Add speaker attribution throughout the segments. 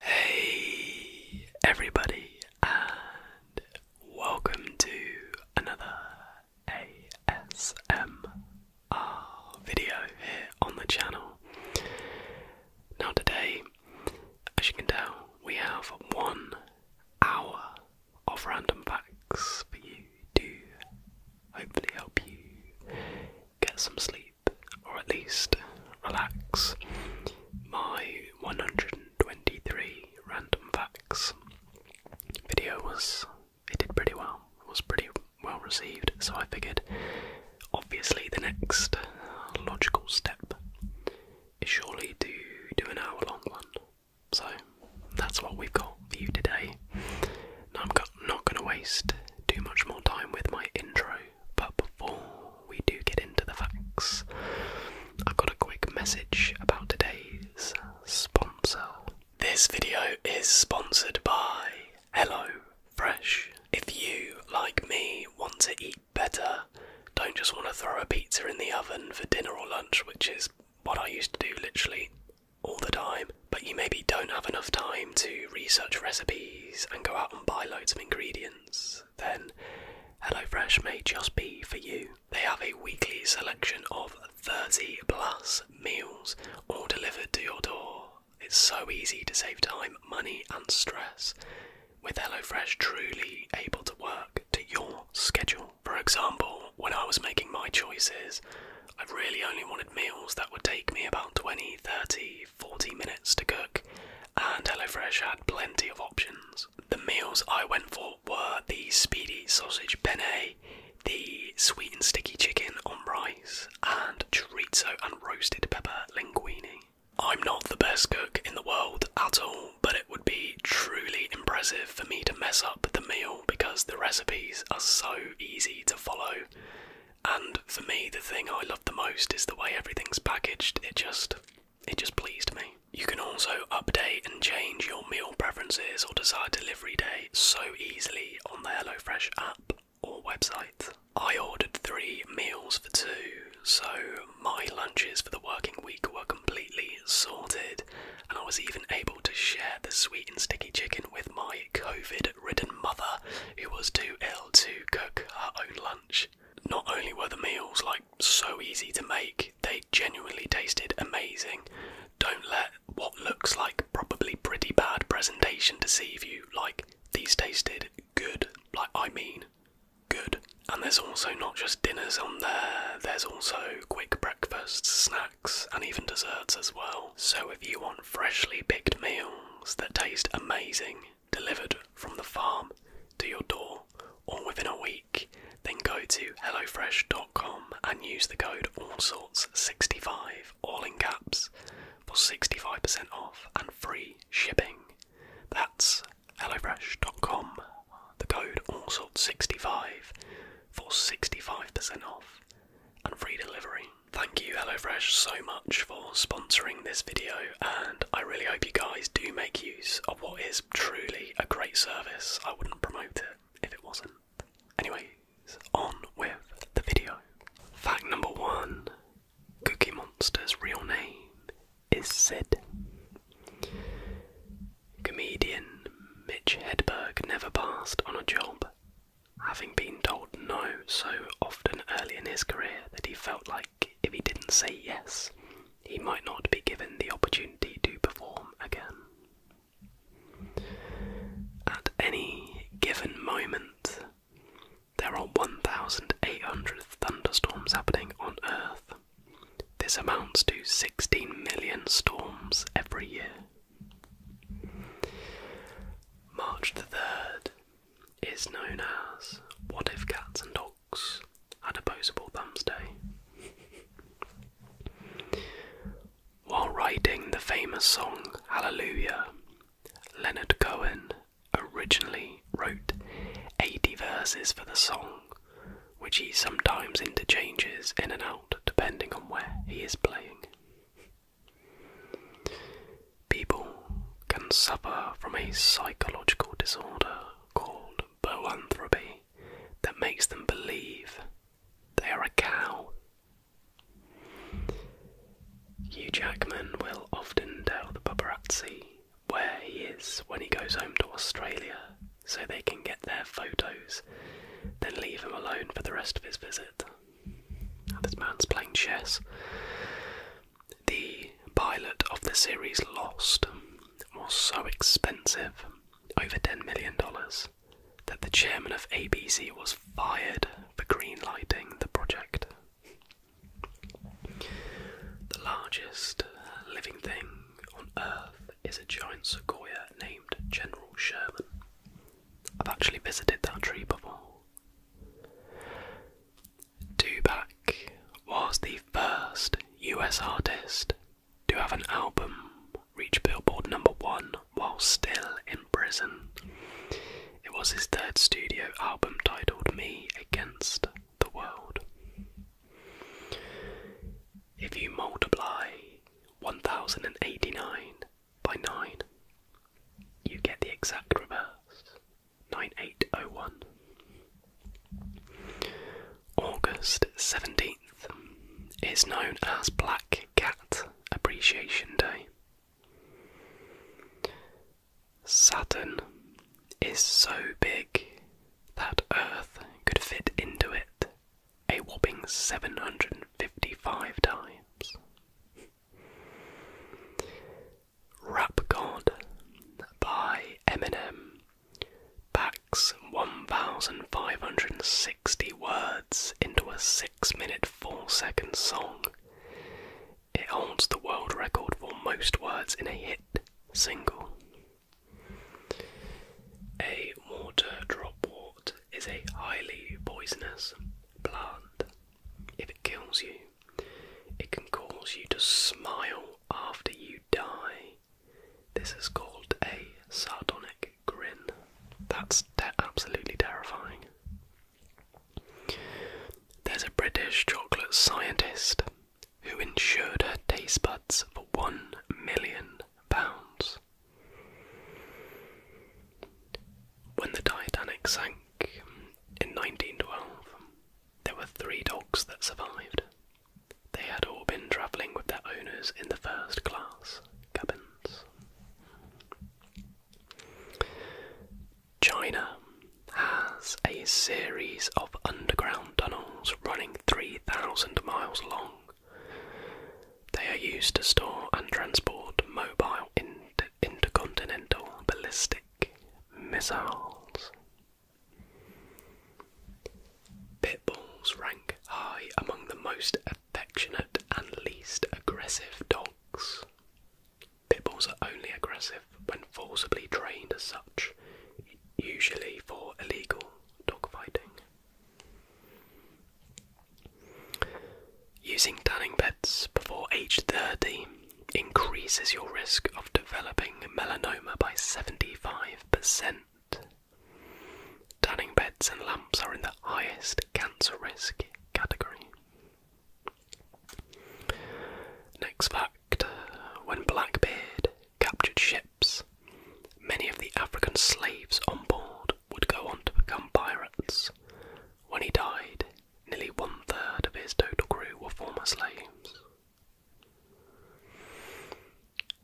Speaker 1: Hey everybody and welcome to another ASMR video here on the channel. Now today, as you can tell, we have one hour of random facts for you to hopefully help you get some sleep or at least relax my 123 random facts video was it did pretty well it was pretty well received so i figured obviously the next logical step is surely to do an hour long one so that's what we've got for you today now i'm not going to waste too much more time with my intro but before we do get into the facts, I've got a quick message about today's sponsor. This video is sponsored by Hello Fresh. If you, like me, want to eat better, don't just want to throw a pizza in the oven for dinner or lunch, which is what I used to do literally all the time, but you maybe don't have enough time to research recipes and go out and buy loads of ingredients then HelloFresh may just be for you. They have a weekly selection of 30 plus meals all delivered to your door. It's so easy to save time, money, and stress. With HelloFresh truly able to work to your schedule. For example, when I was making my choices, I really only wanted meals that would take me about 20, 30, 40 minutes to cook, and HelloFresh had plenty of options. The meals I went for were the speedy sausage penne, the sweet and sticky chicken on rice, and chorizo and roasted pepper linguini. I'm not the best cook in the world at all, but it would be truly impressive for me to mess up the meal because the recipes are so easy to follow. And for me, the thing I love the most is the way everything's packaged. It just it just pleased me. You can also update and change your meal preferences or decide delivery day so easily on the HelloFresh app or website. I ordered three meals for two, so my lunches for the working week were completely sorted, and I was even able to share the sweet and sticky chicken with my COVID ridden mother, who was too ill to cook her own lunch. Not only were the meals like so easy to make, they genuinely tasted amazing. Don't let what looks like probably pretty bad presentation deceive you. Like these tasted good. Like I mean good. And there's also not just dinners on there, there's also quick breakfasts, snacks, and even desserts as well. So if you want freshly picked meals that taste amazing, delivered from the farm to your door or within a week, then go to HelloFresh.com and use the code AllSorts65, all in caps, for 65% off and free shipping. That's HelloFresh.com, the code AllSorts65 for 65% off and free delivery. Thank you HelloFresh so much for sponsoring this video and I really hope you guys do make use of what is truly a great service. I wouldn't promote it if it wasn't. Anyways, on with the video. Fact number one Cookie Monster's real name is Sid. Comedian Mitch Hedberg never passed on a job, having been told no so often early in his career that he felt like if he didn't say yes, he might not be given the opportunity to perform again. At any given moment, there are 1,800 thunderstorms happening on Earth. This amounts to 16 million storms every year. March the 3rd is known as What If Cats and Dogs Wilkes opposable thumbs day. While writing the famous song Hallelujah, Leonard Cohen originally wrote 80 verses for the song, which he sometimes interchanges in and out depending on where he is playing. People can suffer from a psychological disorder called boanthropy that makes them believe they are a cow. Hugh Jackman will often tell the paparazzi where he is when he goes home to Australia so they can get their photos, then leave him alone for the rest of his visit. this man's playing chess. The pilot of the series Lost was so expensive, over $10 million, that the chairman of ABC was fired for greenlighting the project. The largest living thing on Earth is a giant sequoia named General Sherman. I've actually visited that tree before. Tubac was the first US artist to have an album reach Billboard number one while still in prison. It was his third studio album titled Me Against the World. If you multiply 1089 by 9, you get the exact reverse 9801. August 17th is known as Black Cat Appreciation Day. Saturn is so big that Earth could fit into it a whopping 755 times. Rap God by Eminem packs 1,560 words into a 6 minute 4 second song. It holds the world record for most words in a hit single. A water dropwort is a highly poisonous plant. If it kills you, it can cause you to smile after you die. This is called a sardonic grin. That's absolutely terrifying. There's a British chocolate scientist who insured her taste buds for one million pounds. When the Titanic sank in 1912, there were three dogs that survived. They had all been travelling with their owners in the first class cabins. China has a series of underground tunnels running 3,000 miles long. They are used to store and transport mobile intercontinental ballistic missiles Pit bulls rank high among the most affectionate and least aggressive dogs. Pit bulls are only aggressive when forcibly trained as such, usually for illegal dog fighting. Using tanning beds before age 30 increases your risk of developing melanoma by 75%. Tanning beds and lamps are in the highest cancer risk category. Next fact when Blackbeard captured ships, many of the African slaves on board would go on to become pirates. When he died, nearly one third of his total crew were former slaves.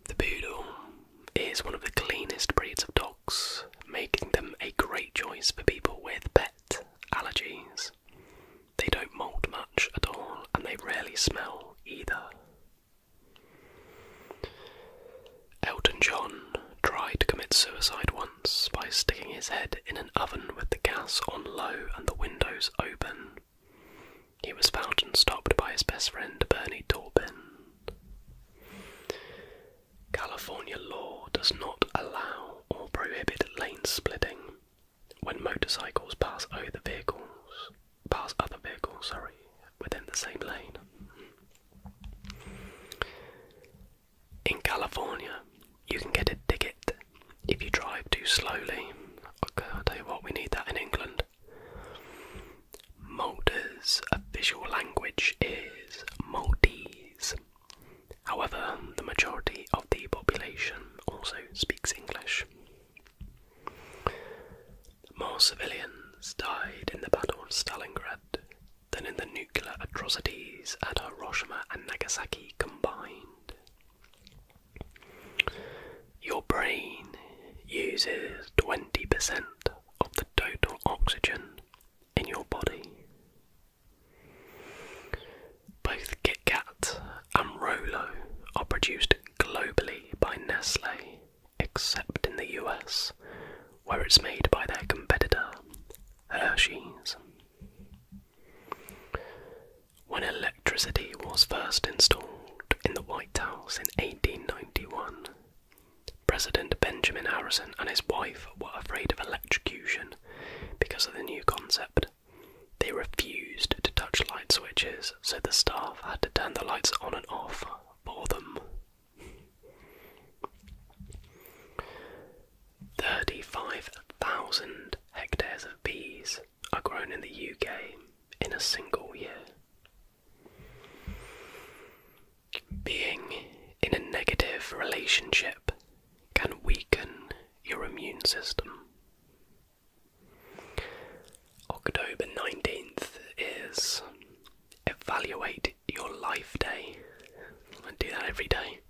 Speaker 1: The Poodle is one of the cleanest breeds of dogs, making them a great choice for people with pet allergies. They don't moult much at all and they rarely smell either. Elton John tried to commit suicide once by sticking his head in an oven with the gas on low and the windows open. He was found and stopped by his best friend Bernie Taupin. California law does not
Speaker 2: allow or prohibit lane splitting when motorcycles pass other vehicles
Speaker 1: pass other vehicles, sorry, within the same lane. In California, you can get a ticket if you drive too slowly. i tell you what, we need that in England. Malta's official language is Maltese. However, the majority
Speaker 2: of the population also speaks English. More civilians died in the Battle of Stalingrad than in the nuclear atrocities at Hiroshima and Nagasaki
Speaker 1: combined. Your brain uses 20% of the total oxygen in your body. Both Kit Kat and Rolo are produced globally by Nestle, except in the US, where it's made by their competitor, Hershey's. When electricity was first installed in the White House in 1891, President Benjamin Harrison and his wife were afraid of electrocution because of the new concept. They refused to touch light switches, so the staff had to turn the lights on and off for them. 35,000 hectares of bees are grown in the UK in a single year. Being in a negative relationship can weaken your immune system. October 19th is Evaluate Your Life Day. I do that every day.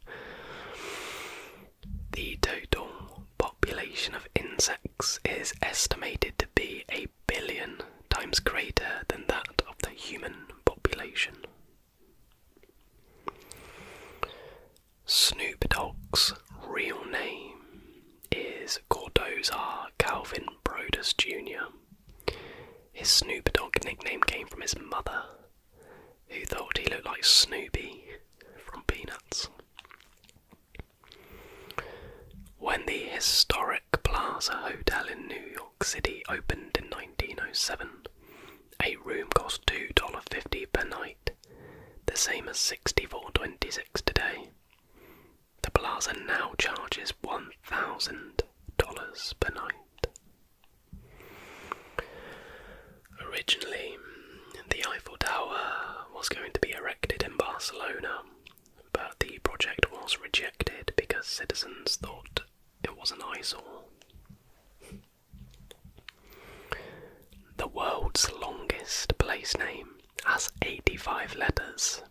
Speaker 1: The total population of insects is estimated to be a billion times greater than that of the human population. Snoop Dogg's real name is Cordozar Calvin Brodus Jr. His Snoop Dogg nickname came from his mother, who thought he looked like Snoopy from Peanuts. When the historic Plaza Hotel in New York City opened in 1907, a room cost $2.50 per night, the same as $64.26 today. The plaza now charges $1,000 per night.
Speaker 2: Originally, the Eiffel Tower was going to be erected in Barcelona, but the project was rejected because citizens thought it was an eyesore. The world's longest place name has 85 letters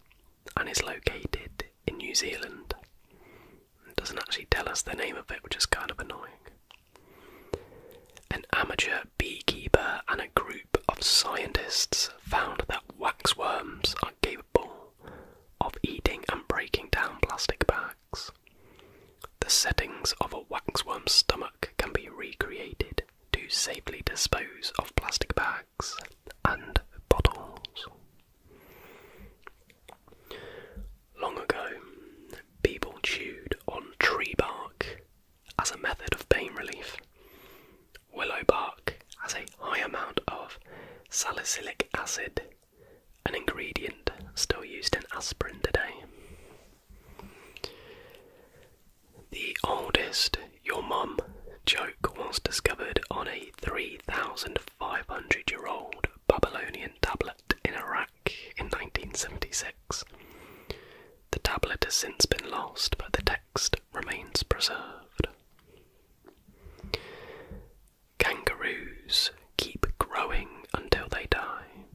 Speaker 2: and is located
Speaker 1: in New Zealand. It doesn't actually tell us the name of it, which is kind of annoying. An amateur beekeeper and a group of scientists found that waxworms are capable of eating and breaking down plastic bags. The settings of a waxworm's stomach can be recreated to safely dispose of plastic bags and bottles. Long ago, people chewed on tree bark as a method of pain relief. Willow bark has a high amount of salicylic acid, an ingredient still used in aspirin today. The oldest your mum joke was discovered on a 3,500 year old Babylonian tablet in Iraq in 1976. The tablet has since been lost, but the text remains preserved. Kangaroos keep growing until they
Speaker 2: die.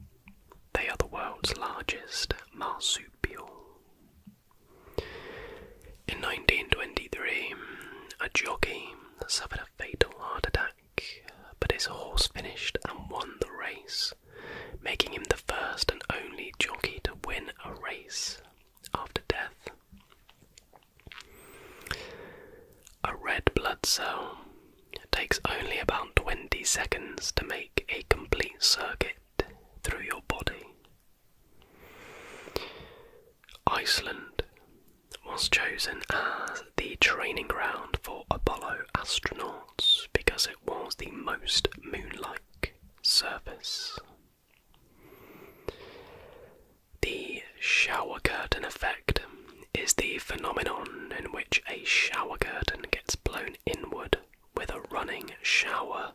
Speaker 2: They are the world's largest marsupial. In 1923, a jockey suffered
Speaker 1: a fatal heart attack, but his horse finished and won the race making him the first and only jockey to win a race after death. A red blood cell takes only about 20 seconds to make a complete circuit through your body. Iceland was chosen as the training ground for Apollo astronauts because it was the most moon-like surface. The shower curtain effect is the phenomenon in which a shower curtain gets blown inward with a running shower.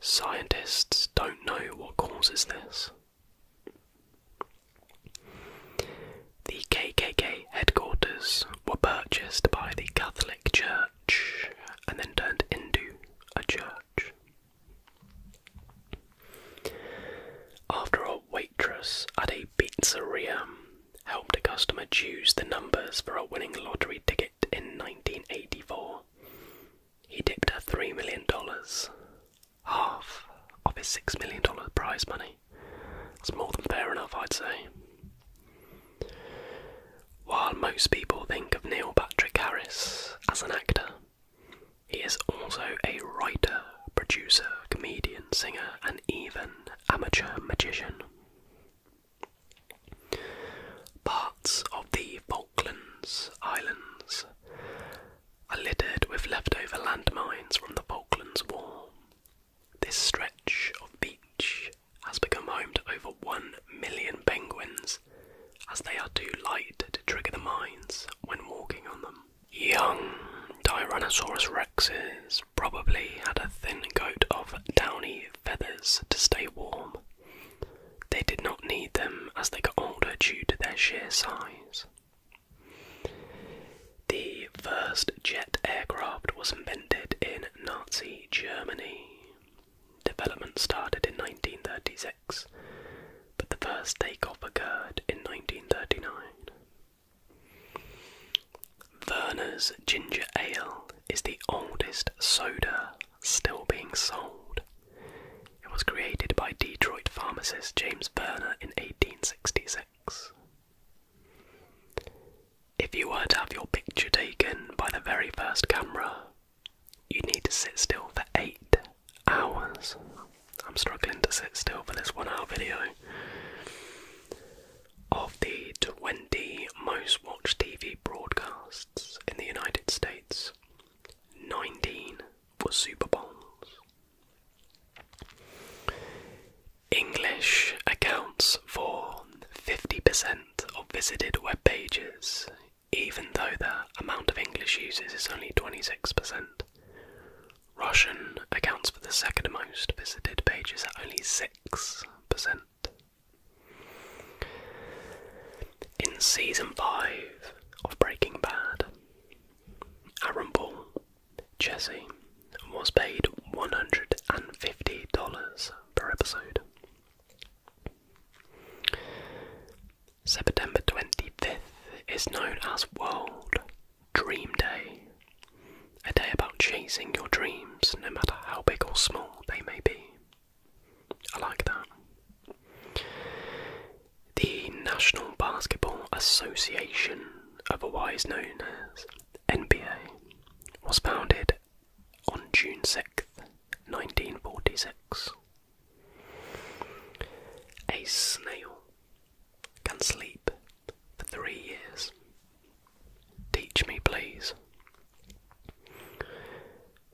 Speaker 1: Scientists don't know what causes this. The KKK headquarters were purchased by the Catholic Catholic Church and then turned into a church. After a waitress at a pizzeria helped a customer choose the numbers for a winning lottery ticket in 1984, he dipped her $3 million, half of his $6 million prize money me. That's more than fair enough, I'd say. While most people think of Neil Patrick Harris as an actor, he is also a writer, producer, comedian, singer, and even amateur magician. Parts of the Falklands Islands are littered with leftover landmines from the Falklands War this stretch of beach has become home to over 1 million penguins, as they are too light to trigger the mines when walking on them. Young Tyrannosaurus rexes probably had a thin coat of downy feathers to stay warm. They did not need them as they got older due to their sheer size. The first jet aircraft was invented in Nazi Germany. Development started in 1936, but the first takeoff occurred in 1939. Werner's Ginger Ale is the oldest soda still being sold. It was created by Detroit pharmacist James Werner in 1866. If you were to have your picture taken by the very first camera, you'd need to sit still for eight hours. I'm struggling to sit still for this one hour video. Of the 20 most watched TV broadcasts in the United States, 19 were Super Bowls. English accounts for 50% of visited web pages, even though the amount of English users is only 26%. Russian accounts for the second most visited pages at only 6%. In season 5 of Breaking Bad, Aaron Paul, Jesse, and was paid $150 per episode. September 25th is known as World Dream Day, a day about chasing your dreams, no matter how big or small they may be. I like that. The National Basketball Association, otherwise known as NBA, was founded on June 6th, 1946. A snail can sleep for three years. Teach me, please.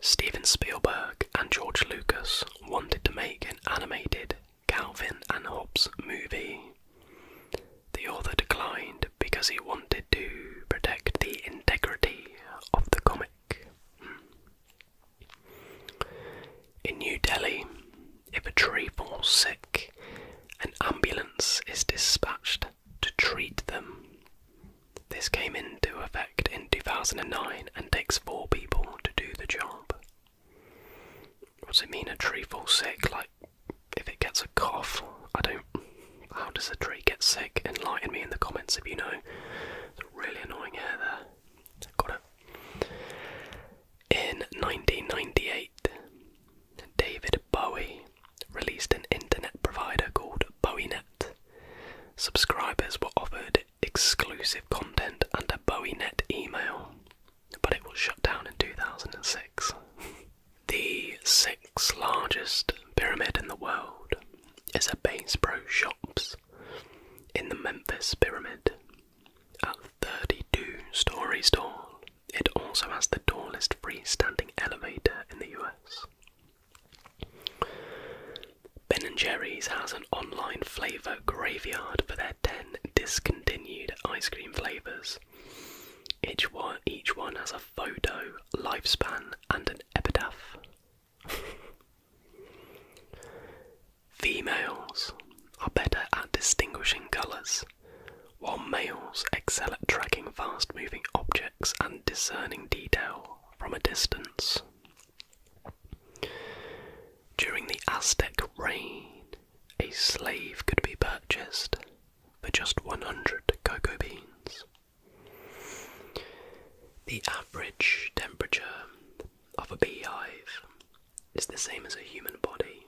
Speaker 1: Steven Spielberg and George Lucas wanted to make an animated Calvin and Hobbes movie. The author declined because he wanted to protect the integrity of the comic. Hmm. In New Delhi, if a tree falls sick, an ambulance is dispatched to treat them. This came into effect in 2009 and takes four people to do the job. What does it mean a tree falls sick? Like, if it gets a cough, I don't. How does a tree get sick? Enlighten me in the comments if you know. It's really annoying hair there. Got it. In 1998, David Bowie released an internet provider called BowieNet. Subscribers were offered exclusive content and a BowieNet email, but it was shut down in 2006.
Speaker 2: The sixth largest pyramid in the world is a Bass
Speaker 1: Pro Shops in the Memphis Pyramid. At 32 stories tall, it also has the tallest freestanding elevator in the US. Ben & Jerry's has an online flavour graveyard for their 10 discontinued ice cream flavours, each one, each one has a photo, lifespan, and an epitaph. Females are better at distinguishing colours, while males excel at tracking fast moving objects and discerning detail from a distance. During the Aztec reign, a slave could be purchased for just 100 cocoa beans. The average temperature of a beehive is the same as a human body.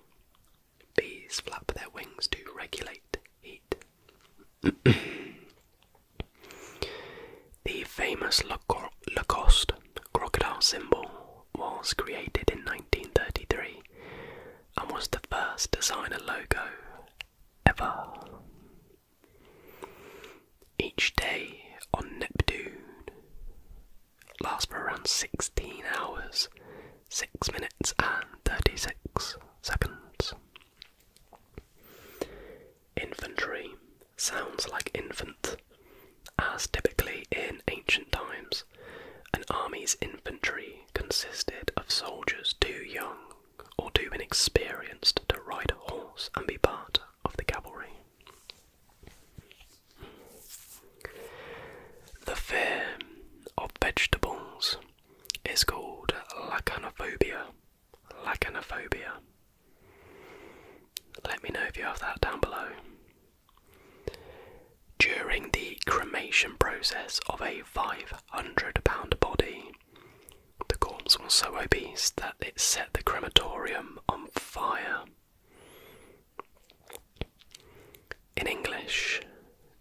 Speaker 1: Bees flap their wings to regulate heat. the famous Lacoste crocodile symbol was created in 1933 and was the first designer logo ever. Each day on Neptune lasts for around 16 hours, 6 minutes, and 36 seconds. Infantry sounds like infant, as typically in ancient times, an army's infantry consisted of soldiers too young or too inexperienced to ride a horse and be part of the cavalry. The fear of vegetables is called lacanophobia. Lacanophobia. Let me know if you have that down below. During the cremation process of a five 100 pound body. The corpse was so obese that it set the crematorium on fire. In English,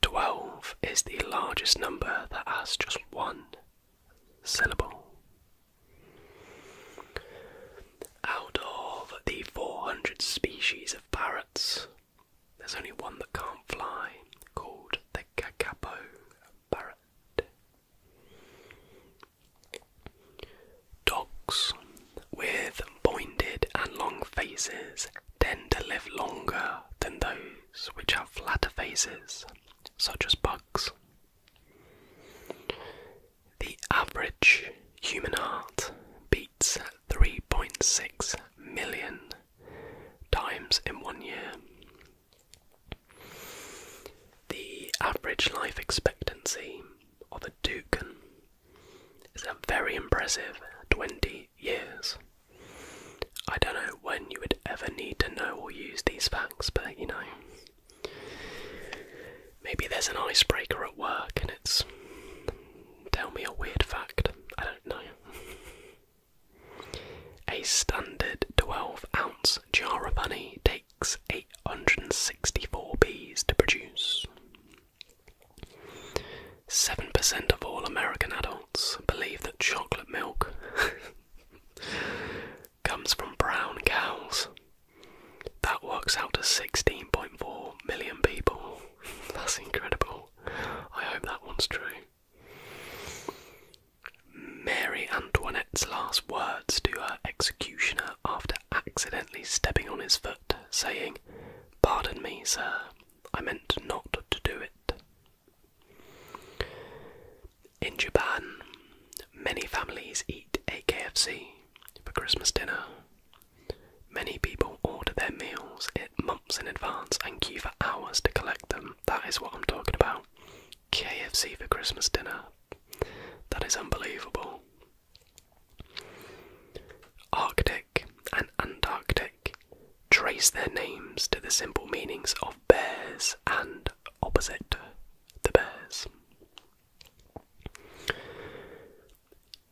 Speaker 1: 12 is the largest number that has just one syllable. Out of the 400 species of parrots, there's only one that can't fly, called the Kakapo Parrot. Dogs with pointed and long faces tend to live longer than those which have flatter faces, such as bugs. The average human heart beats 3.6 million times in one year. The average life expectancy of a toucan is a very impressive 20 years. I don't know when you would ever need to know or use these facts, but you know. Maybe there's an icebreaker at work and it's. Tell me a weird fact. I don't know. A standard 12 ounce jar of honey takes 864 bees to produce. 7% of all American adults believe that chocolate milk comes from brown cows. That works out to 16.4 million people. That's incredible. I hope that one's true. Mary Antoinette's last words to her executioner after accidentally stepping on his foot, saying, Pardon me, sir, I meant not to do it. In Japan, many families eat a KFC for Christmas dinner. Many people order their meal it months in advance and queue for hours to collect them. That is what I'm talking about. KFC for Christmas dinner. That is unbelievable. Arctic and Antarctic trace their names to the simple meanings of bears and opposite the bears.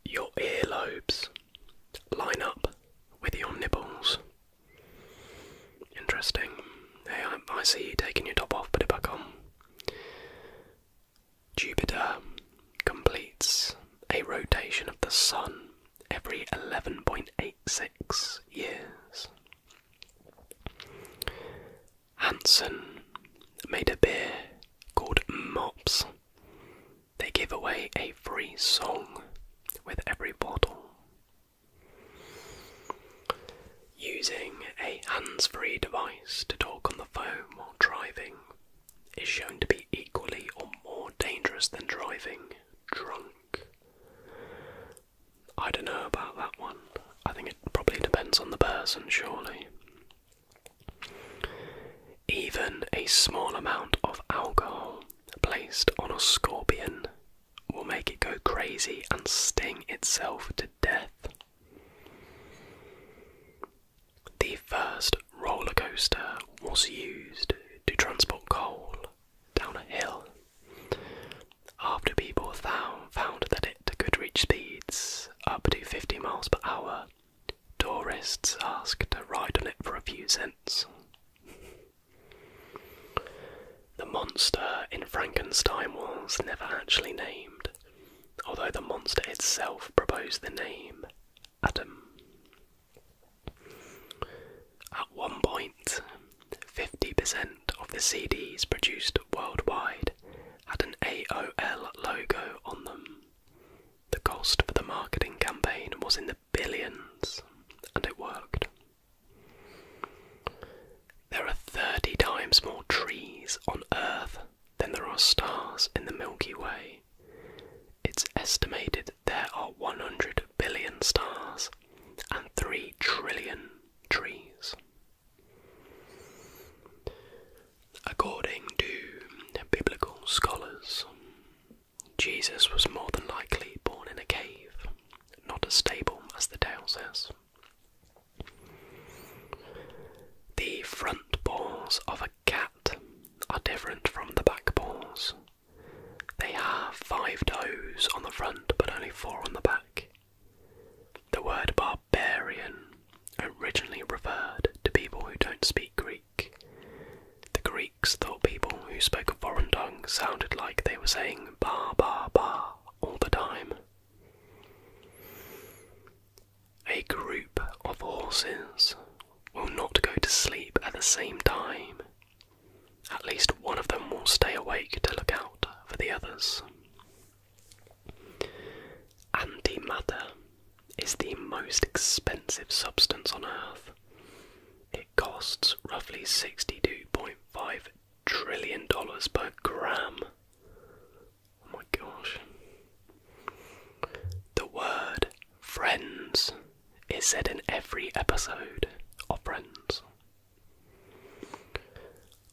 Speaker 1: Your earlobes line up with your nipples. Interesting. Hey, I, see you taking your top off, put it back on. Jupiter completes a rotation of the Sun every 11.86 years. Hansen made a beer called Mops they give away a free song with every bottle. Using a hands free device to talk on the phone while driving is shown to be equally or more dangerous than driving drunk. I don't know about that one. I think it probably depends on the person, surely. Even a small amount of alcohol placed on a scorpion will make it go crazy and sting itself to death. The first roller coaster was used to transport coal down a hill after people found, found that it could reach speeds up to 50 miles per hour. Tourists asked to ride on it for a few cents. The monster in Frankenstein was never actually named, although the monster itself proposed the name Adam. At one point, 50% of the CDs produced worldwide had an AOL logo on them. The cost for the marketing campaign was in the billions, and it worked. There are 30 times more trees on Earth than there are stars in the Milky Way. It's estimated there are 100 billion stars and 3 trillion trees. According to biblical scholars, Jesus was more than likely born in a cave, not a stable as the tale says. The front paws of a cat are different from the back paws. They have five toes on the front but only four on the back. The word barbarian originally referred to people who don't speak Greek. The Greek thought people who spoke a foreign tongue sounded like they were saying ba ba ba all the time. A group of horses will not go to sleep at the same time. At least one of them will stay awake to look out for the others. And the Antimatter is the most expensive substance on Earth costs roughly $62.5 trillion per gram. Oh my gosh. The word friends is said in every episode of Friends.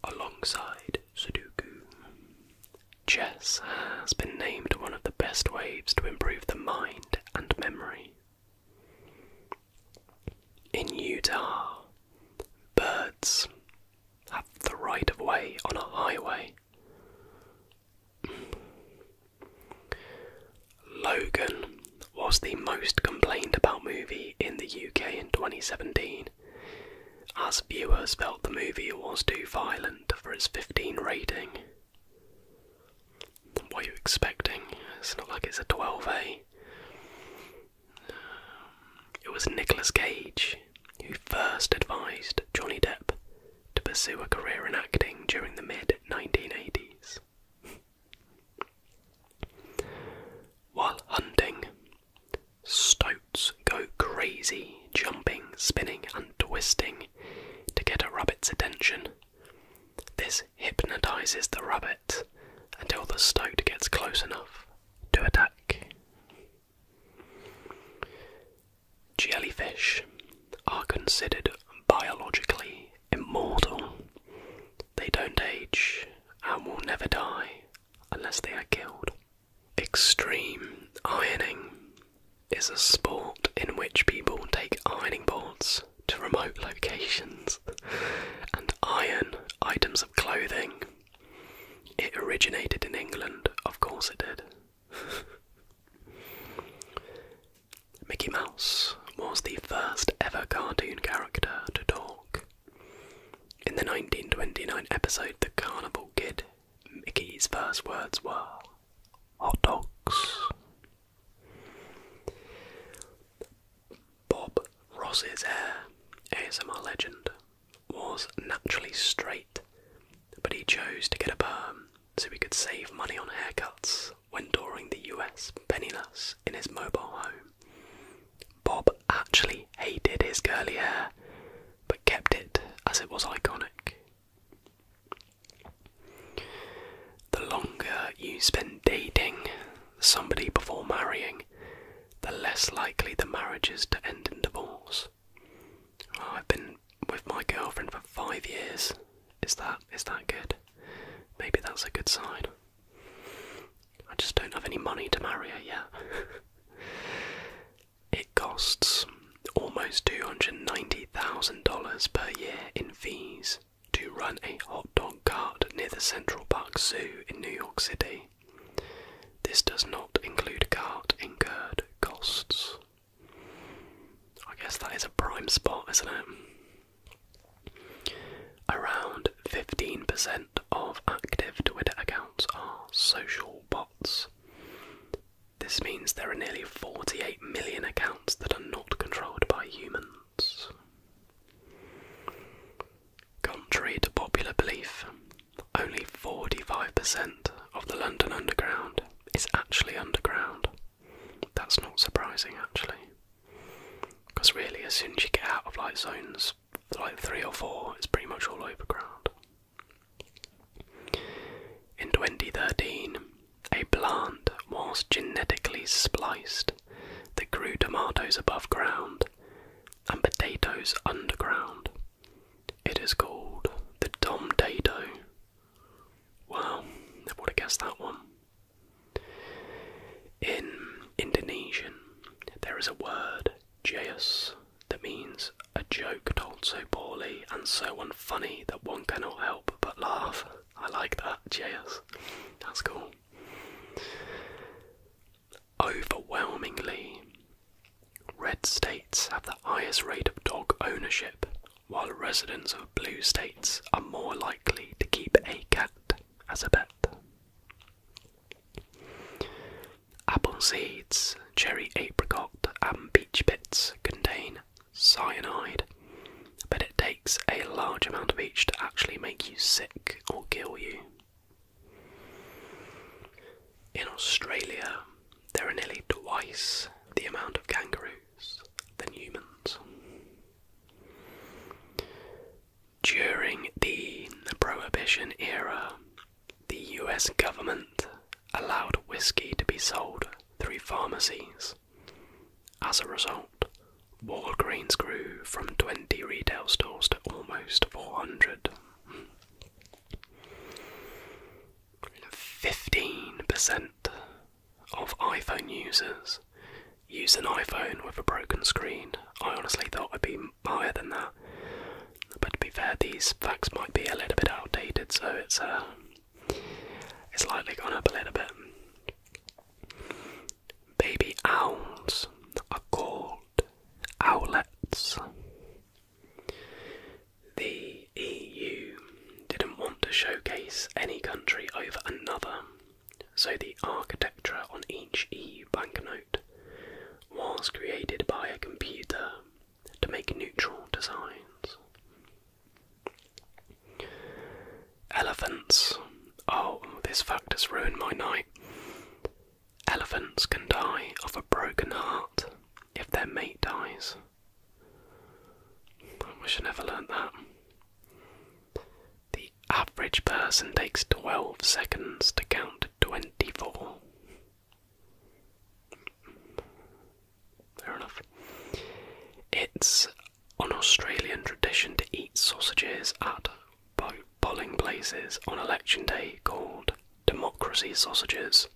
Speaker 1: Alongside Sudoku, chess has been named one of the best ways to improve the mind and memory. In Utah, birds have the right of way on a highway. Logan was the most complained about movie in the UK in 2017, as viewers felt the movie was too violent for its 15 rating. What are you expecting? It's not like it's a 12A. Um, it was Nicholas Cage who first advised Johnny Depp to pursue a career in acting during the mid 1980s.
Speaker 2: While hunting, stoats go crazy, jumping, spinning, and twisting to get a rabbit's attention. This
Speaker 1: hypnotizes the rabbit until the stoat gets close enough to attack. Jellyfish are considered biologically immortal. They don't age and will never die unless they are killed. Extreme ironing is a sport in which people take ironing boards to remote locations and iron items of clothing. It originated in England, of course it did. Mickey Mouse was the first ever cartoon character to talk. In the 1929 episode The Carnival Kid, Mickey's first words were hot dogs. Bob Ross's hair, as ASMR legend, was naturally straight, but he chose to get a perm so he could save money on haircuts when touring the US penniless in his mobile home. Bob actually hated his curly hair, but kept it as it was iconic. The longer you spend dating somebody before marrying, the less likely the marriage is to end in divorce. Oh, I've been with my girlfriend for five years. Is that is that good? Maybe that's a good sign. I just don't have any money to marry her yet. it costs almost $290,000 per year in fees to run a hot dog cart near the Central Park Zoo in New York City. This does not include cart incurred costs. I guess that is a prime spot, isn't it? Around 15% of active Twitter accounts are social bots. This means there are nearly 48 million accounts that are not controlled by humans. Contrary to popular belief, only 45% of the London Underground is actually underground. That's not surprising actually. Because really, as soon as you get out of light zones like 3 or 4, it's pretty much all overground. In 2013, a plant was genetically spliced that grew tomatoes above ground and potatoes underground. It is called the Domtato. Wow, I would have guessed that one. In Indonesian, there is a word, jayus, that means a joke told so poorly and so unfunny that one cannot help but laugh. I like that. JS. That's cool. Overwhelmingly, red states have the highest rate of dog ownership, while residents of blue states are more likely to keep a cat as a pet. Apple seeds, cherry apricot, and peach pits contain cyanide, but it a large amount of each to actually make you sick or kill you. In Australia, there are nearly twice the amount of kangaroos than humans. During the Prohibition era, the US government allowed whiskey to be sold through pharmacies. As a result, Walgreens grew from 20 retail stores to almost 400. 15% of iPhone users use an iPhone with a broken screen. I honestly thought it would be higher than that. But to be fair, these facts might be a little bit outdated, so it's uh, it's likely gone up a little bit. Baby owls are called owlets. The EU didn't want to showcase any country over another, so the architecture on each EU banknote was created by a computer to make neutral designs. Elephants. Oh, this fact has ruined my night. Elephants can die of a broken heart if their mate dies. I wish I never learnt that. The average person takes 12 seconds to count 24. Fair enough. It's on Australian tradition to eat sausages at polling places on election day called democracy sausages.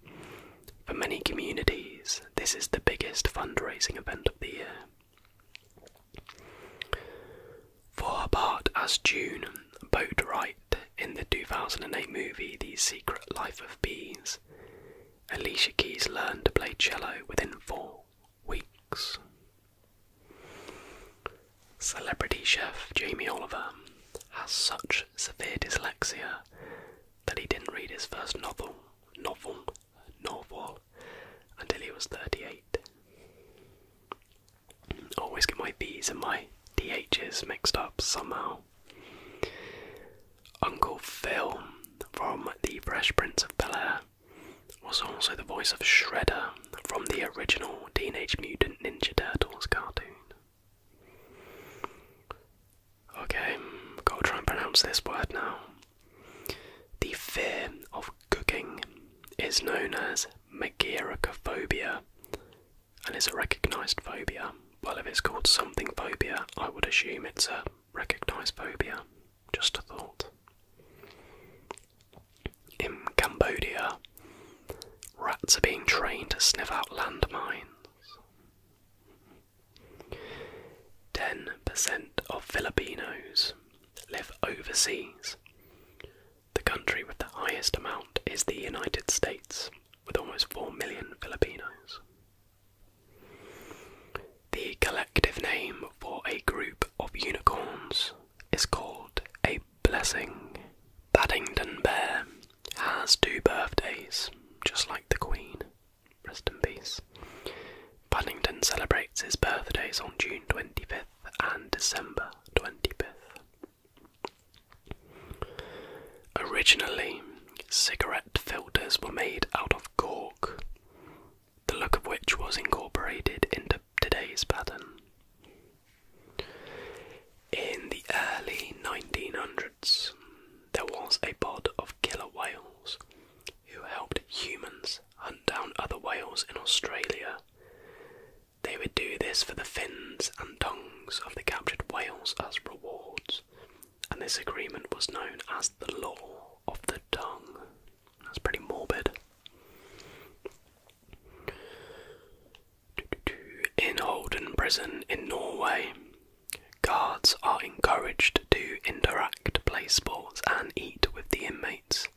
Speaker 1: For many communities, this is the biggest fundraising event of the year. For part as June, Boat in the 2008 movie The Secret Life of Bees, Alicia Keys learned to play cello within four weeks. Celebrity chef Jamie Oliver has such severe dyslexia that he didn't read his first novel, novel, novel, until he was 38. Always get my B's and my DHs mixed up somehow. Uncle Phil from The Fresh Prince of Bel Air was also the voice of Shredder from the original Teenage Mutant Ninja Turtles cartoon. Okay, gotta try and pronounce this word now. The fear of cooking is known as megaricophobia and is a recognized phobia. Well, if it's called something phobia, I would assume it's a recognized phobia. Just a thought. In Cambodia, rats are being trained to sniff out landmines. 10% of Filipinos live overseas. The
Speaker 2: country with the highest amount is the United States, with almost 4 million Filipinos. The collective name for a
Speaker 1: group of unicorns is called a blessing. Paddington Bear has two birthdays, just like the Queen. Rest in peace. Paddington celebrates his birthdays on June 25th and December 25th. Originally, cigarette filters were made out of cork the look of which was incorporated into today's pattern. In the early 1900s, there was a pod of killer whales who helped humans hunt down other whales in Australia. They would do this for the fins and tongues of the captured whales as rewards, and this agreement was known as the Law of the Tongue. That's pretty morbid. In Holden Prison in Norway, guards are encouraged to interact, play sports, and eat with the inmates.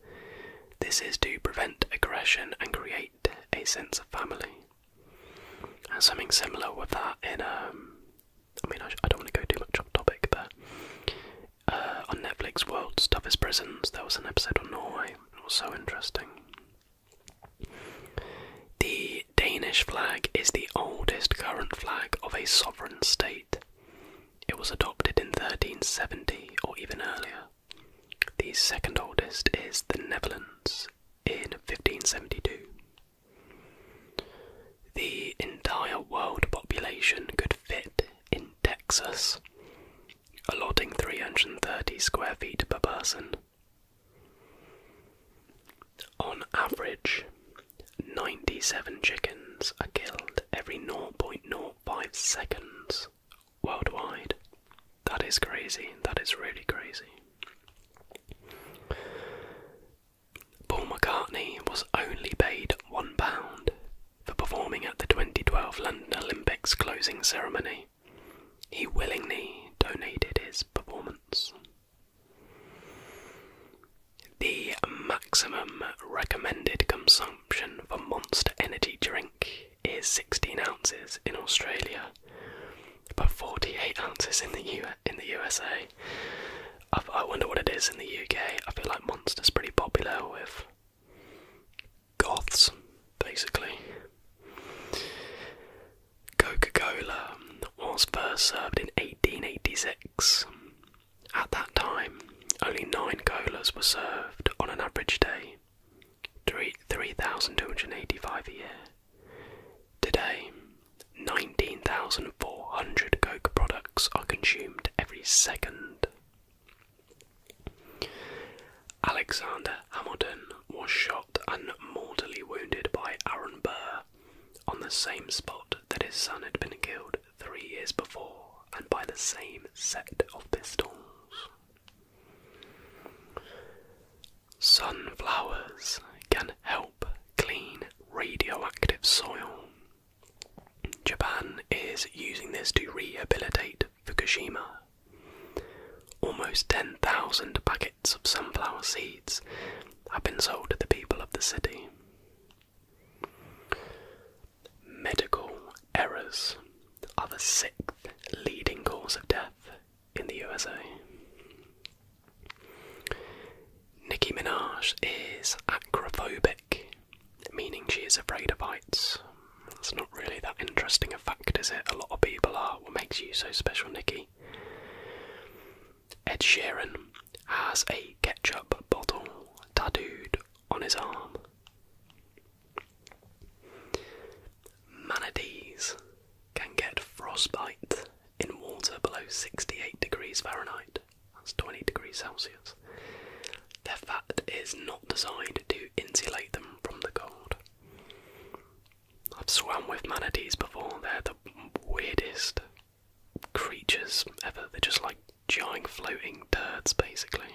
Speaker 1: This is to prevent aggression and create a sense of family. And something similar with that in, um, I mean, I, I don't want to go too much off topic, but uh, on Netflix, World's Toughest Prisons, there was an episode on Norway. It was so interesting. The Danish flag is the oldest current flag of a sovereign state. It was adopted in 1370 or even earlier. The second oldest is the Netherlands in 1572. The entire world population could fit in Texas, allotting 330 square feet per person. On average, 97 chickens are killed every 0.05 seconds worldwide. That is crazy, that is really crazy. Paul McCartney was only paid £1 for performing at the 2012 London Olympics closing ceremony. He willingly donated his performance. The maximum recommended consumption for Monster Energy drink is 16 ounces in Australia, but 48 ounces in the U in the USA, i wonder what it is in the UK. I feel like Monster's pretty popular with goths, basically. Coca Cola was first served in 1886. At that time, only nine colas were served on an average day, 3,285 a year. Today, 19,400 Coke products are consumed every second. Alexander Hamilton was shot and mortally wounded by Aaron Burr on the same spot that his son had been killed three years before and by the same set of pistols. Sunflowers can help clean radioactive soil Japan is using this to rehabilitate Fukushima. Almost 10,000 packets of sunflower seeds have been sold to the people of the city. Medical errors are the sixth leading cause of death in the USA. Nicki Minaj is acrophobic meaning she is afraid of heights. That's not really that interesting a fact, is it? A lot of people are. What makes you so special, Nikki? Ed Sheeran has a ketchup bottle tattooed on his arm. Manatees can get frostbite in water below 68 degrees Fahrenheit that's 20 degrees Celsius. Their fat is not designed to insulate them from the cold. I've swam with manatees before, they're the weirdest creatures ever. They're just like giant floating turds, basically.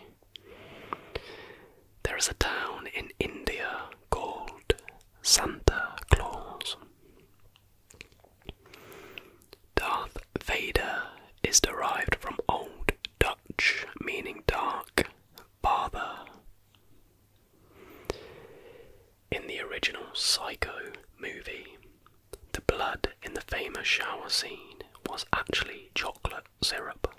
Speaker 1: There is a town in India called Santa Claus. Darth Vader is derived from Old Dutch meaning dark father. In the original Psycho movie, the blood in the famous shower scene was actually chocolate syrup.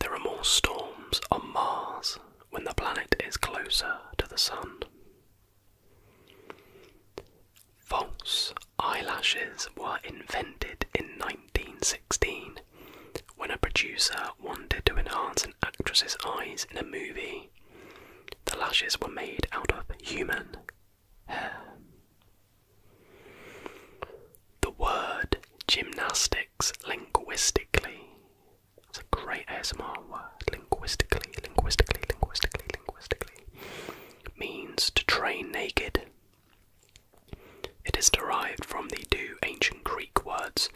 Speaker 1: There are more storms on Mars when the planet is closer to the Sun. False eyelashes were invented in 1916 when a producer wanted to enhance an actress's eyes in a movie. The lashes were made out of human hair. The word gymnastics linguistically. It's a great ASMR word. Linguistically, linguistically, linguistically, linguistically means to train naked. It is derived from the two ancient Greek words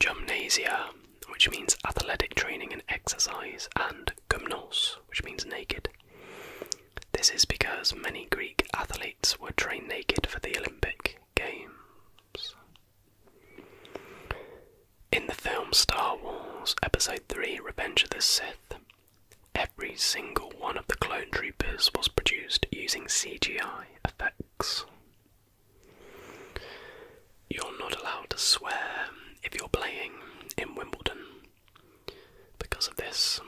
Speaker 1: gymnasia, which means athletic training and exercise, and gymnos, which means naked. This is because many Greek athletes were trained naked for the Olympic Games. In the film Star Wars Episode 3 Revenge of the Sith, every single one of the clone troopers was produced using CGI effects. You're not allowed to swear if you're playing in Wimbledon. Because of this,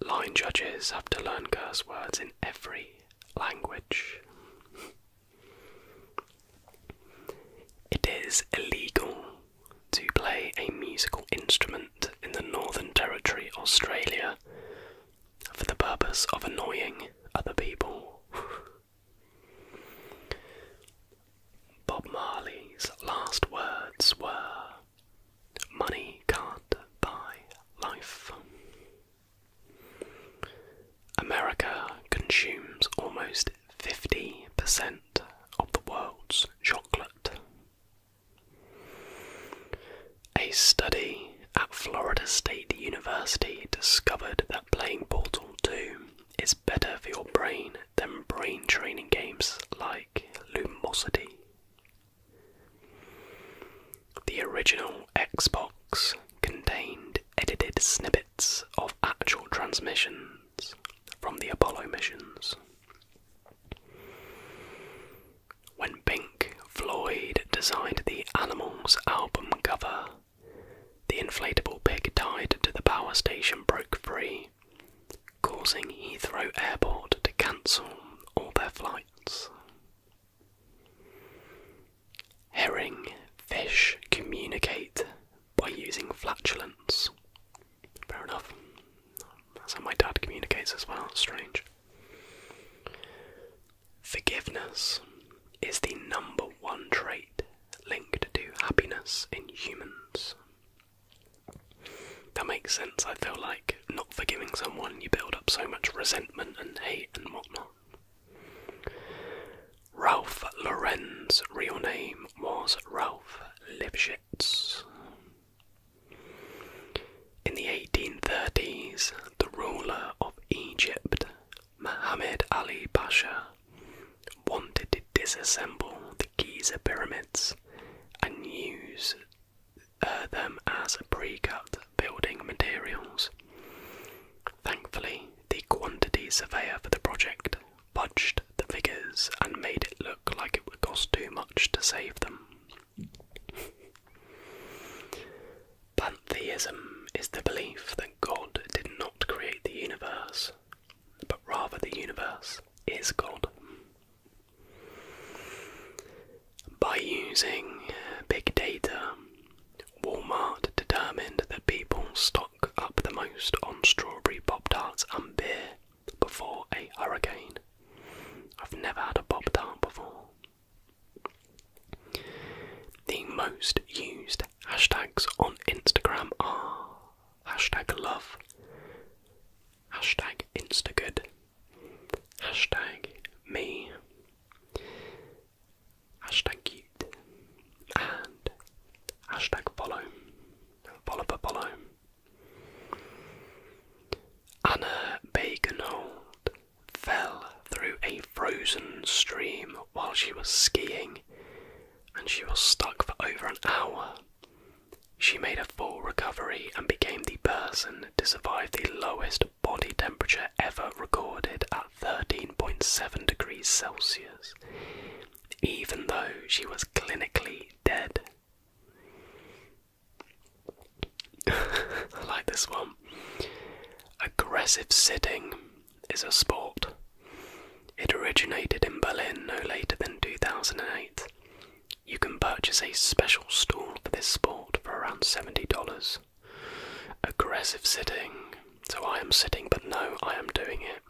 Speaker 1: line judges have to learn curse words in every language. It is illegal to play a musical instrument in the Northern Territory, Australia, for the purpose of annoying other people. Bob Marley's last words were Money can't buy life. America consumes almost 50% of the world's chocolate. A study at Florida State University discovered that playing Portal 2 is better for your brain than brain training games like Lumosity. The original Xbox contained edited snippets of actual transmissions from the Apollo missions. When Bink Floyd designed the Animals album cover, the inflatable pig tied to the power station broke free, causing Heathrow Airport to cancel all their flights. Herring fish communicate by using flatulence, Fair enough. That's how my dad communicates as well. It's strange. Forgiveness is the number one trait linked to happiness in humans. That makes sense. I feel like not forgiving someone, you build up so much resentment and hate and whatnot. Ralph Lorenz's real name was Ralph in the 1830s, the ruler of Egypt, Muhammad Ali Pasha, wanted to disassemble the Giza pyramids and use uh, them as pre cut building materials. Thankfully, the quantity surveyor for the project budged the figures and made it look like it would cost too much to save them. Pantheism is the belief that God did not create the universe, but rather the universe is God. By using big data, Walmart determined that people stopped up the most on strawberry Pop Tarts and beer before a hurricane. I've never had a Pop Tart before. The most used hashtags on Instagram are hashtag love, hashtag Instagood, hashtag me, hashtag cute, and hashtag follow. Anna Baganold fell through a frozen stream while she was skiing and she was stuck for over an hour. She made a full recovery and became the person to survive the lowest body temperature ever recorded at 13.7 degrees Celsius even though she was clinically dead. I like this one. Aggressive sitting is a sport. It originated in Berlin no later than 2008. You can purchase a special stool for this sport for around $70. Aggressive sitting. So I am sitting, but no, I am doing it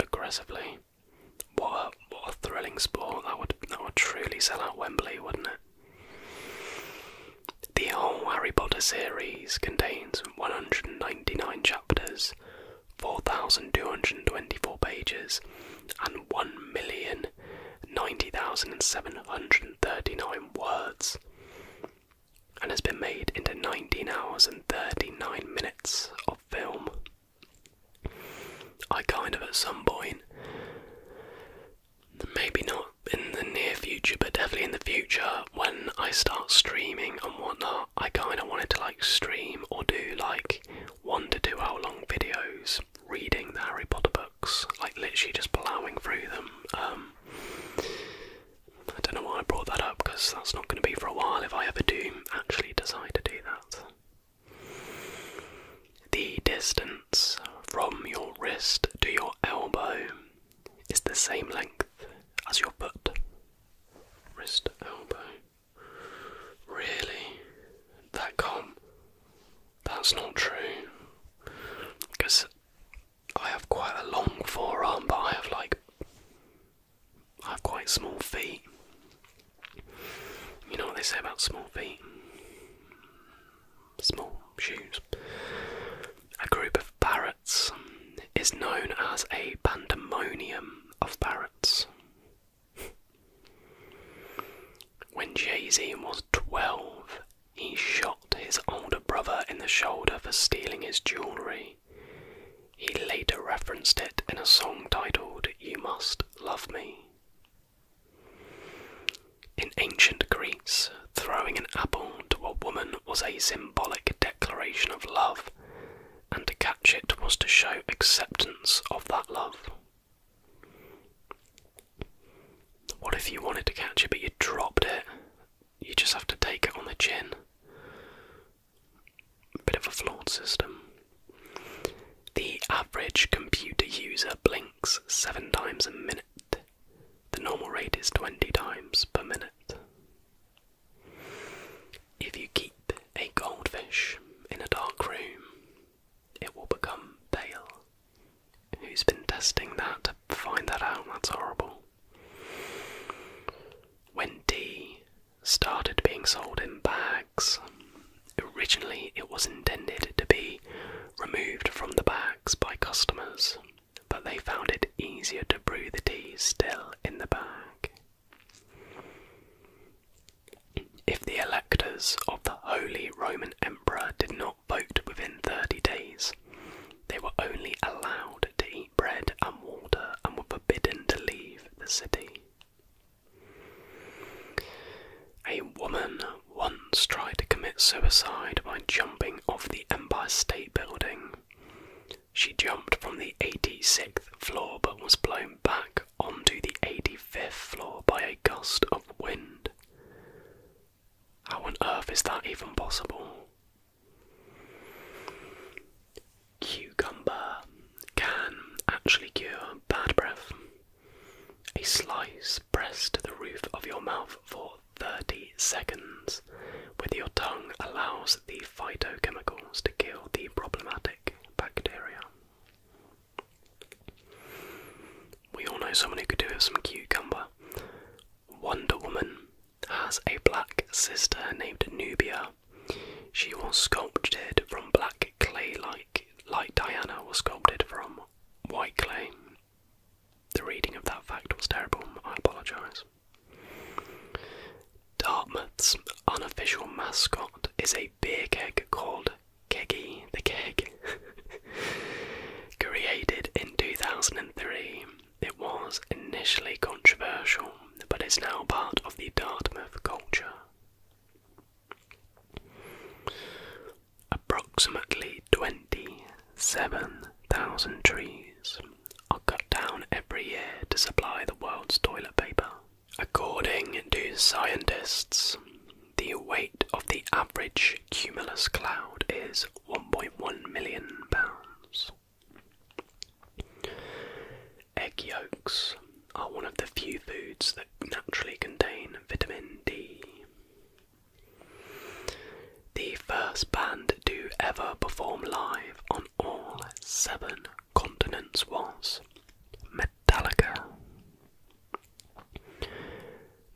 Speaker 1: aggressively. What a, thrilling sport that would that would truly sell out Wembley, wouldn't it? The whole Harry Potter series contains 199 chapters, 4,224 pages, and 1,090,739 words, and has been made into 19 hours and 39 minutes of film. I kind of, at some point, maybe not in the near future, but definitely in the future, when I start streaming and whatnot, I kind of wanted to like stream or do like one to two hour long videos reading the Harry Potter books, like literally just plowing through them. Um, I don't know why I brought that up because that's not going to be for a while if I ever do actually decide to do that. The distance from your wrist to your elbow is the same length as your butt. Wrist, elbow. Really? That can't. That's not true. Because I have quite a long forearm, but I have like I have quite small feet. You know what they say about small feet? Small shoes. A group of parrots is known as a pandemonium of parrots. When Jay Z was 12, he shot his older brother in the shoulder for stealing his jewellery. He later referenced it in a song titled You Must Love Me. In ancient Greece, throwing an apple to a woman was a symbolic declaration of love, and to catch it was to show acceptance of that love. What if you wanted to catch it but you dropped it? You just have to take it on the chin bit of a flawed system. The average computer user blinks seven times a minute. The normal rate is 20 times per minute. If you keep a goldfish in a dark room, it will become pale. Who's been testing that to find that out? That's horrible. When tea started being sold in bags. Originally, it was intended to be removed from the bags by customers, but they found it easier to brew the tea still in the bag. If the electors of the Holy Roman Emperor did not vote within 30 days, they were only allowed to eat bread and water and were forbidden to leave the city. A woman once tried to commit suicide by jumping off the Empire State Building. She jumped from the 86th floor but was blown back onto the 85th floor by a gust of wind. How on earth is that even possible? Cucumber can actually cure bad breath. A slice pressed to the roof of your mouth for 30 seconds with your tongue allows the phytochemicals to kill the problematic bacteria. We all know someone who could do with some cucumber. Wonder Woman has a black sister named Nubia she was sculpted from black clay, like like Diana was sculpted from white clay. The reading of that fact was terrible. I apologise. Dartmouth's unofficial mascot is a beer keg called Keggy the Keg. Created in 2003, it was initially controversial, but is now part of the Dartmouth culture. Approximately 27,000 trees are cut down every year to supply the world's toilet paper. According to scientists, the weight of the average cumulus cloud is 1.1 million pounds. Egg yolks are one of the few foods that naturally contain vitamin D. The first band to ever perform live on all seven continents was Metallica.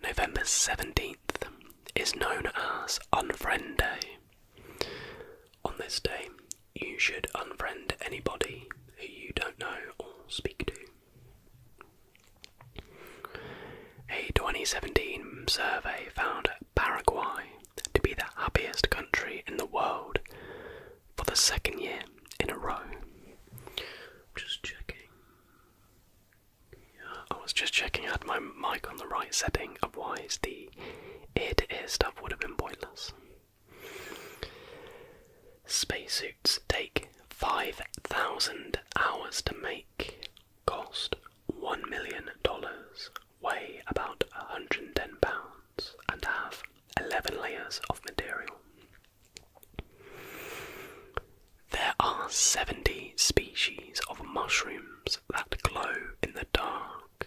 Speaker 1: November 17th is known as Unfriend Day. On this day, you should unfriend anybody who you don't know or speak to. A 2017 survey found Paraguay to be the happiest country in the world for the second year in a row. Just checking. I was just checking, I had my mic on the right setting, otherwise the ear ear stuff would have been pointless. Spacesuits take 5,000 hours to make, cost $1 million, weigh about 110 pounds, and have 11 layers of material. There are 70 species of mushrooms that glow in the dark.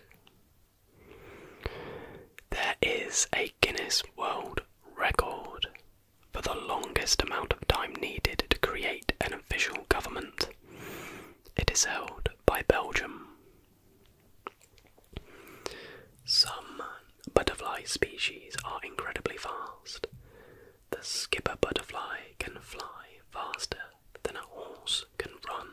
Speaker 1: There is a Guinness World Record for the longest amount of time needed to create an official government. It is held by Belgium. Some butterfly species are incredibly fast. The skipper butterfly can fly faster than a horse can run.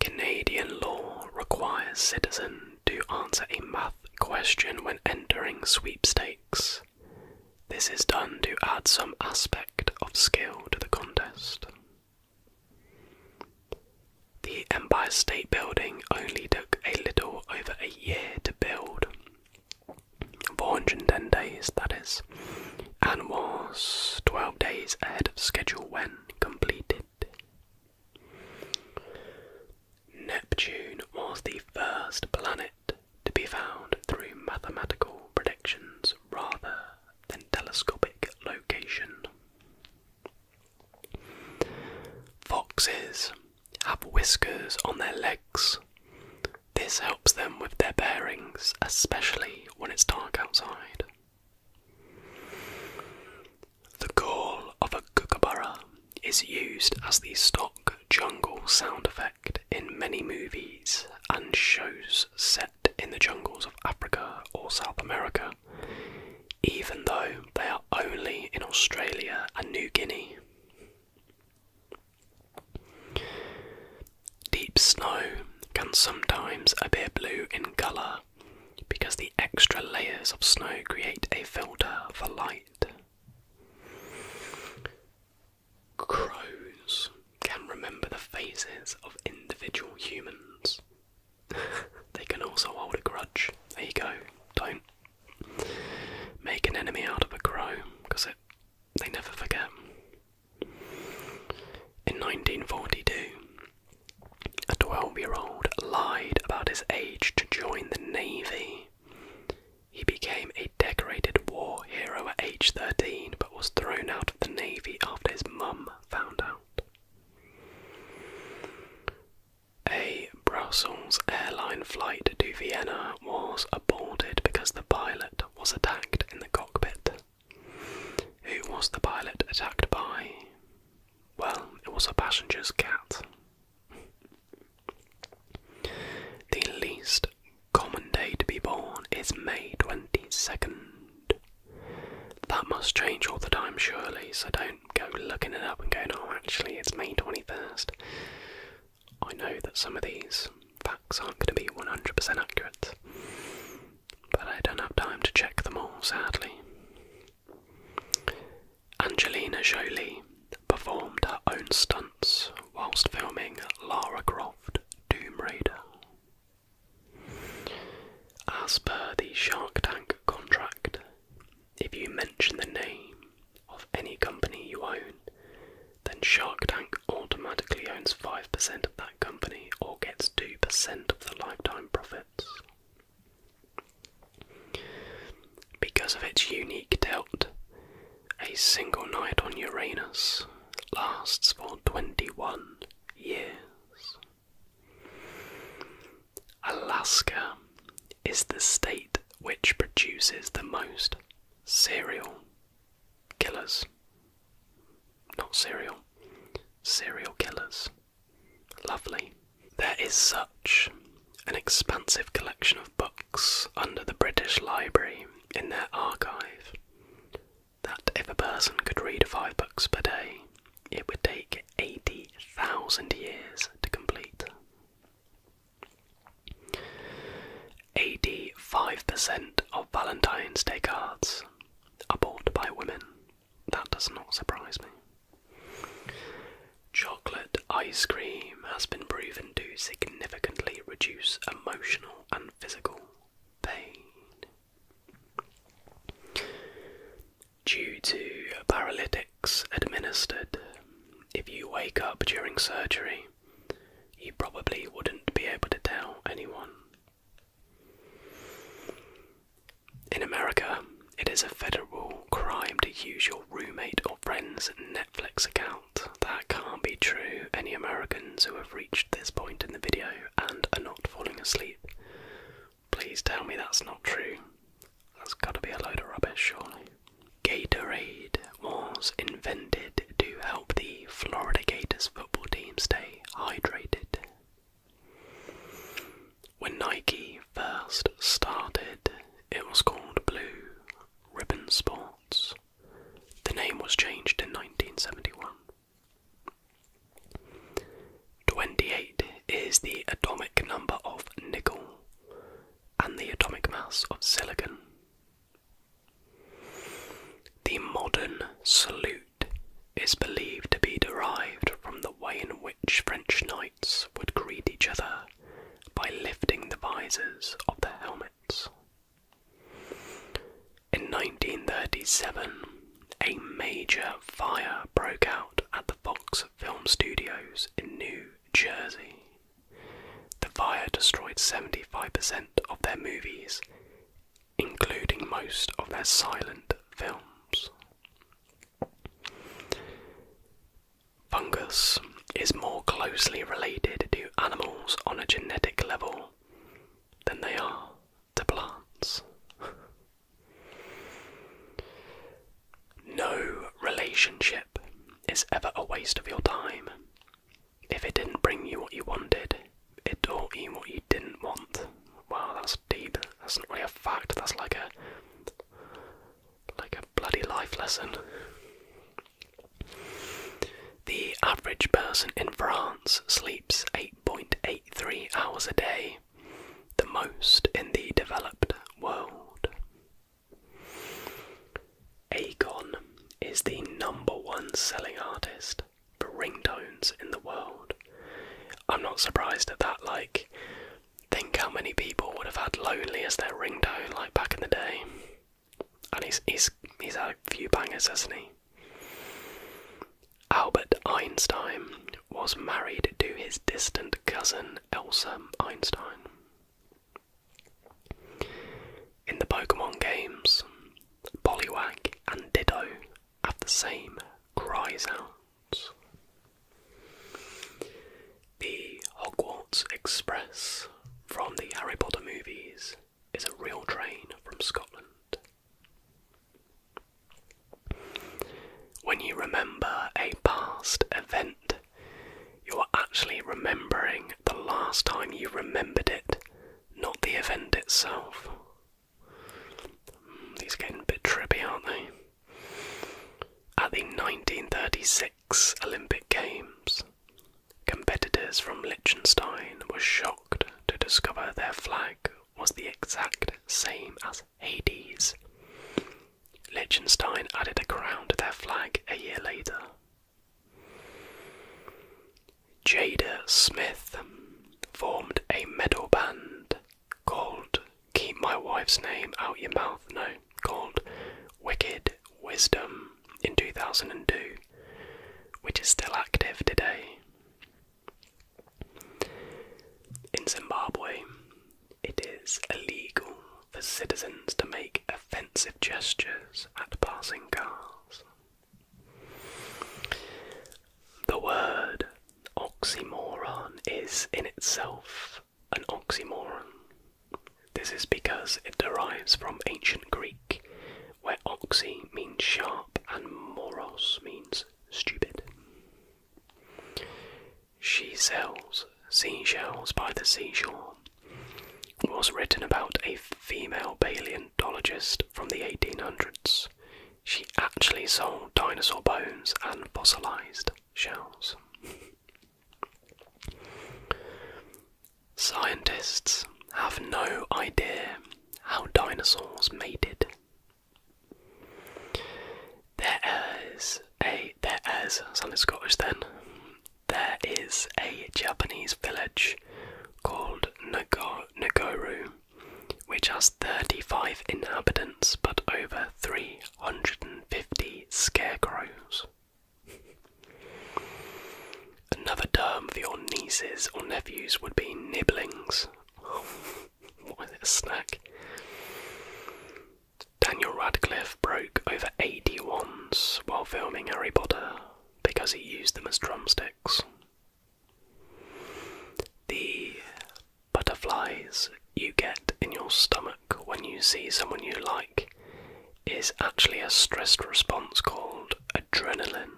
Speaker 1: Canadian law requires citizen to answer a math question when entering sweepstakes. This is done to add some aspect of skill to the contest. The Empire State Building only took a little over a year to build, 410 days that is, and was 12 days ahead of schedule when completed. Neptune was the first planet to be found through mathematical predictions rather than telescopic location. Foxes have whiskers on their legs. This helps them with their bearings, especially when it's dark outside. The call of a kookaburra is used as the stock jungle sound effect in many movies and shows set in the jungles of Africa or South America, even though they are only in Australia and New Guinea. Deep snow can sometimes appear blue in colour because the extra layers of snow create a filter for light. Crows can remember the faces of individual humans. they can also hold a grudge. There you go. Don't make an enemy out of a crow because it they never forget. In 1942, a 12 year old lied about his age to join the Navy. He became a decorated war hero at age 13 but was thrown out of the Navy after his mum found out. A Brussels airline flight to Vienna was aborted because the pilot was attacked in the cockpit. Who was the pilot attacked by? Well, it was a passenger's cat. The least common day to be born is May 22nd. That must change all the time, surely, so don't go looking it up and going, oh, actually, it's May 21st. I know that some of these facts aren't going to be 100% accurate but I don't have time to check them all, sadly. Angelina Jolie performed her own stunts whilst filming Lara Croft Doom Raider. As per the Shark Tank contract, if you mention the name of any company you own, then Shark Tank automatically owns 5% of that company or gets 2% of the lifetime profits. Because of its unique tilt, a single night on Uranus lasts for 21 years. Alaska is the state which produces the most serial killers. Not serial. Serial killers. Lovely. There is such an expansive collection of books under the British Library in their archive that if a person could read five books per day, it would take 80,000 years to complete. 85%
Speaker 2: of Valentine's Day cards are bought by women that does not surprise me. Chocolate ice cream has been
Speaker 1: proven to significantly reduce emotional and physical pain. Due to paralytics administered, if you wake up during surgery, you probably wouldn't be able to tell anyone in America, it is a federal crime to use your roommate or friend's Netflix account. That can't be true. Any Americans who have reached this point in the video and are not falling asleep, please tell me that's not true. That's gotta be a load of rubbish, surely. Gatorade was invented to help the Florida Gators football team stay hydrated. When Nike first started, it was called Blue Ribbon Sports. The name was changed in 1971. 28 is the atomic number of nickel and the atomic mass of silicon. The modern salute is believed to be derived from the way in which French knights would greet each other by lifting the visors of their helmets. In 1937, a major fire broke out at the Fox Film Studios in New Jersey. The fire destroyed 75% of their movies including most of their silent films. Fungus is more closely related to animals on a genetic level than they are to plants. no relationship is ever a waste of your time. If it didn't bring you what you wanted, it taught you what you didn't want. Wow, that's that's not really a fact. That's like a like a bloody life lesson. The average person in France sleeps 8.83 hours a day, the most in the developed world. Agon is the number one selling artist ringtones in the world. I'm not surprised at that, like, think how many people would have had Lonely as their ringtone, like, back in the day. And he's, he's, he's had a few bangers, hasn't he? Albert Einstein was married to his distant cousin Elsa Einstein. In the Pokemon games, Poliwag and Ditto have the same cries out. The Hogwarts Express from the Harry Potter movies is a real train from Scotland. When you remember a past event, you are actually remembering the last time you remembered it, not the event itself. These are getting a bit trippy, aren't they? At the 1936 Olympic Games, competitors from Liechtenstein were shocked to discover their flag was the exact same as Hades. Liechtenstein added a crown to their flag a year later. Jada Smith formed a metal band called Keep My Wife's Name Out Your Mouth, no, called Wicked Wisdom in 2002, which is still active today. In Zimbabwe, it is illegal for citizens to make offensive gestures at passing cars. The word oxymoron is in itself an oxymoron. This is because it derives from ancient Greek, where oxy means sharp and moros means stupid. She sells seashells by the seashore was written about a female paleontologist from the 1800s she actually sold dinosaur bones and fossilized shells. Scientists have no idea how dinosaurs mated. There is a there is something Scottish then. There is a Japanese village called Nago,
Speaker 2: Nagoru which has 35 inhabitants but over 350 scarecrows.
Speaker 1: Another term for your nieces or nephews would be nibblings. what is it, a snack?
Speaker 2: Daniel Radcliffe broke over 80 wands while filming
Speaker 1: Harry Potter because he used them as drumsticks. The butterflies you get in your stomach when you see someone you like is actually a stressed response called adrenaline.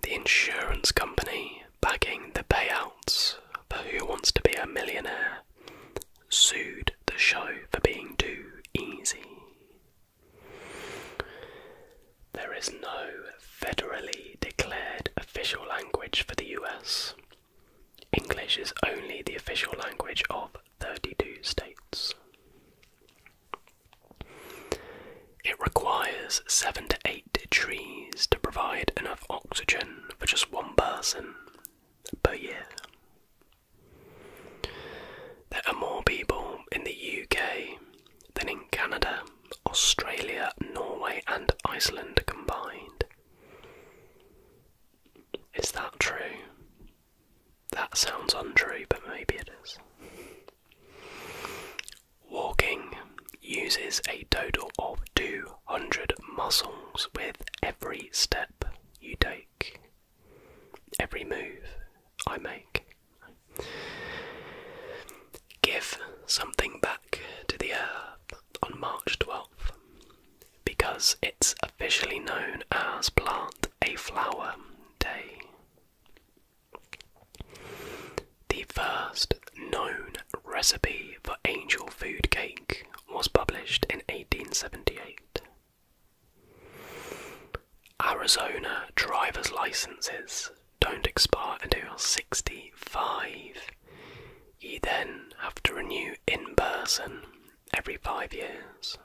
Speaker 1: The insurance company backing the payouts for Who Wants to Be a Millionaire sued the show for being too easy. There is no
Speaker 2: federally declared official language for the US. English is only the official language of 32 states. It requires 7 to 8 trees to provide enough oxygen for just one
Speaker 1: person per year. There are more people in the UK than in Canada, Australia, Norway, and Iceland combined. Is that true? That sounds untrue, but maybe it is. Walking uses a total of 200 muscles with every step you take, every move I make. Give something back to the earth on March 12th because it's officially known as Plant a Flower Day. The first known recipe for angel food cake was published in 1878. Arizona driver's licenses don't expire until 65. You then have to renew in person every five years.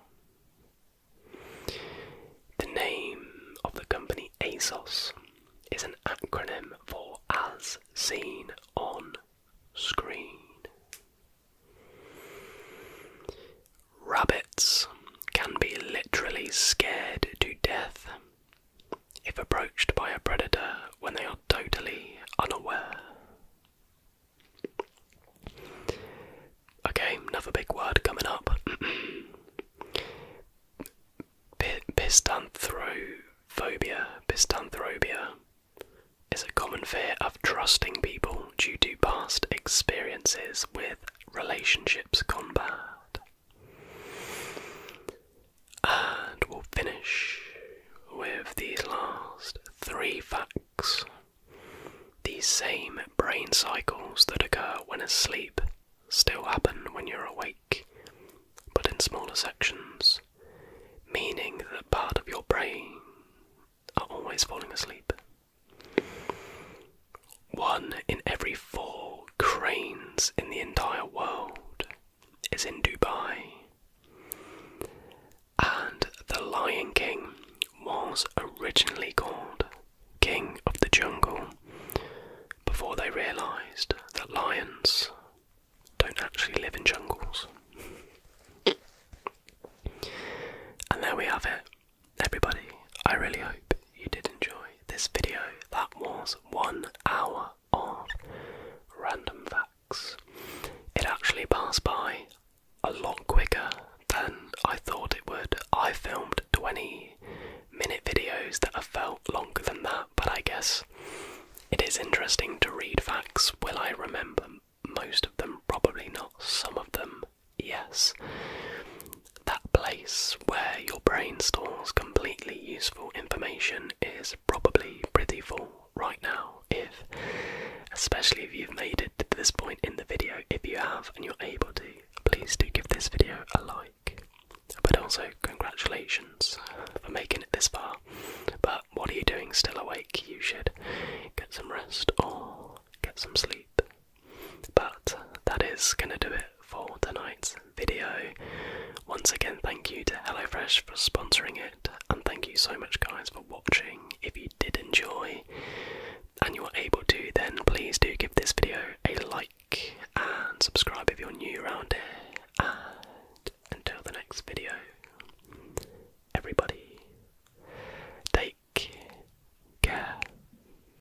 Speaker 1: The name of the company ASOS is an acronym for As Seen on Screen. Rabbits can be literally scared to death if approached by a predator when they are totally unaware. Okay, another big word coming up. Pistanthrophobia. Pistanthropia is a common fear of trusting people due to past experiences with relationships gone bad. And we'll finish with the last three facts. These same brain cycles that occur when asleep still happen when you're awake, but in smaller sections, meaning that part of your brain are always falling asleep. One in every four cranes in the entire world is in Dubai. And the Lion King was originally called King of the Jungle before they realised that lions don't actually live in jungles. And there we have it everybody, I really hope you did enjoy this video. That was one hour of random facts. It actually passed by a lot quicker than I thought it would. I filmed 20 minute videos that have felt longer than that, but I guess it is interesting to read facts. Will I remember most of them? Probably not. Some of them yes. That place where your brain stores completely useful information is probably pretty full right now, if, especially if you've made it to this point in the video, if you have and you're able to, please do give this video a like. But also, congratulations for making it this far. But what are you doing still awake? You should get some rest or get some sleep. But that is going to do it for tonight's video. Once again, thank you to HelloFresh for sponsoring it, and thank you so much, guys, for watching. If you did enjoy and you were able to, then please do give this video a like and subscribe if you're new around here. And until the next video, everybody, take care.